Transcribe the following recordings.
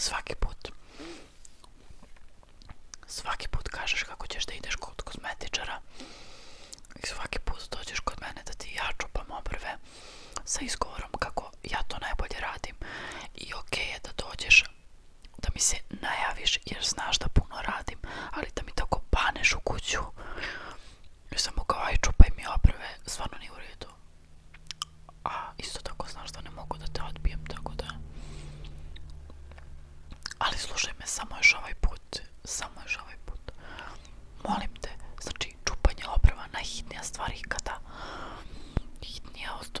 Svaki put. Svaki put kažeš kako ćeš da ideš kod kozmetičara. I svaki put dođeš kod mene da ti ja čupam obrve sa izgovorom kako ja to najbolje radim. I okej okay je da dođeš da mi se najaviš jer znaš da puno radim, ali da mi tako paneš u kuću. Ja sam mu kao, aj čupaj mi oprave, stvarno nije u redu. A isto tako znaš da ne mogu da te odbijem, tako da... Ali slušaj me, samo još ovaj put, samo još ovaj put. Molim te, znači čupanje oprava najhitnija stvari kada... Hitnija od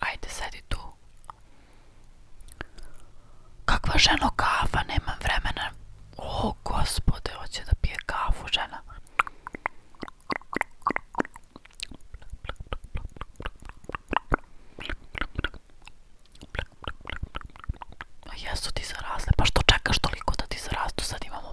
Ajde, sedi tu. Kakva ženo kafa, nemam vremena. O, gospode, hoće da pije kafu žena. Jesu ti zarazle, pa što čekaš toliko da ti zarastu, sad imamo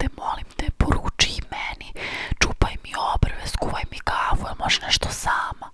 Te, molim te, poruči meni, čupaj mi obrve, skuvaj mi kavu, jel možeš nešto sama?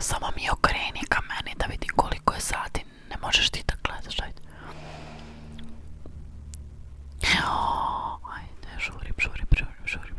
Samo mi okreni ka meni da vidi koliko je sati. Ne možeš ti tako gledaš, ajde. Ajde, žurim, žurim, žurim, žurim.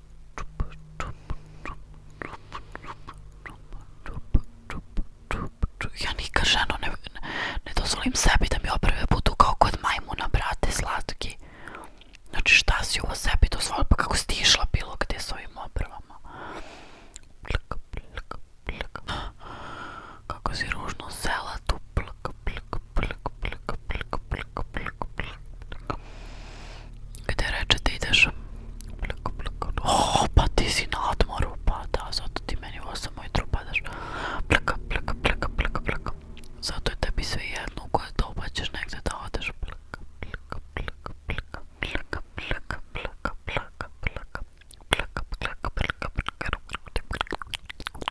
Ja nikad ženo ne, ne, ne dozvolim sebi da mi obrve budu kao kod majmuna, brate, slatki. Znači šta si ovo sebi dozvolila, pa kako si išla bilo gde s ovim obrvama? Plika, plika, plika. Kako si ružno sela tu, plika, plika, plika, plika, plika, plika, plika. Gde reče da ideš? O, pa ti si na odmoru, pa da, zato ti meni u osam ujutru padaš. Plaka, plaka, plaka, plaka, plaka. Zato je tebi sve jedno u koje doba ćeš negde da odeš. Plaka, plaka, plaka, plaka, plaka, plaka, plaka, plaka, plaka. Plaka, plaka, plaka, plaka. Plaka, plaka, plaka, plaka.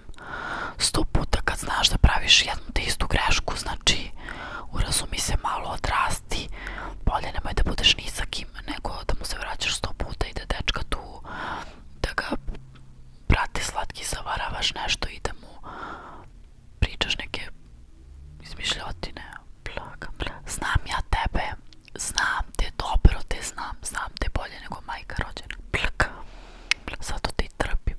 sto puta kad znaš da praviš jednu te istu grešku, znači, urazumi se malo odrasti, bolje nemoj da budeš ni sa kim, nego da mu se vraćaš sto puta i da dečka tu, da ga prati slatki, zavaravaš nešto i da mu pričaš neke izmišljotine. Blaga, blaga. Znam ja tebe, znam te dobro, te znam, znam te bolje nego majka rođena. Blaga. Blaga. Zato te i trpim.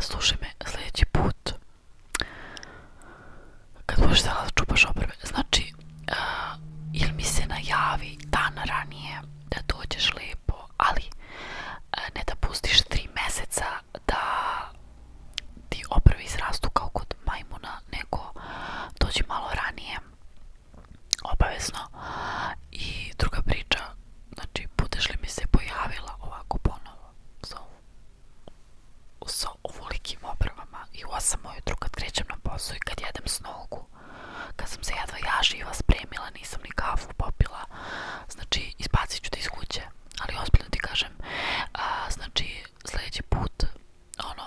Slušaj me sljedeći put kad možeš da čupaš obrve. Znači, uh, ili mi se najavi dan ranije da dođeš lepo, ali uh, ne da pustiš tri meseca da ti obrve izrastu kao kod majmuna, nego dođi malo ranije obavezno i druga priča znači budeš li mi se pojavila ovako ponovo sa, sa ovolikim obrvama i u osam ujutru kad krećem na posao i kad jedem s nogu kad sam se jedva ja živa spremila nisam ni kafu popila znači izbacit ću te iz kuće ali ozbiljno ti kažem a, znači sljedeći put ono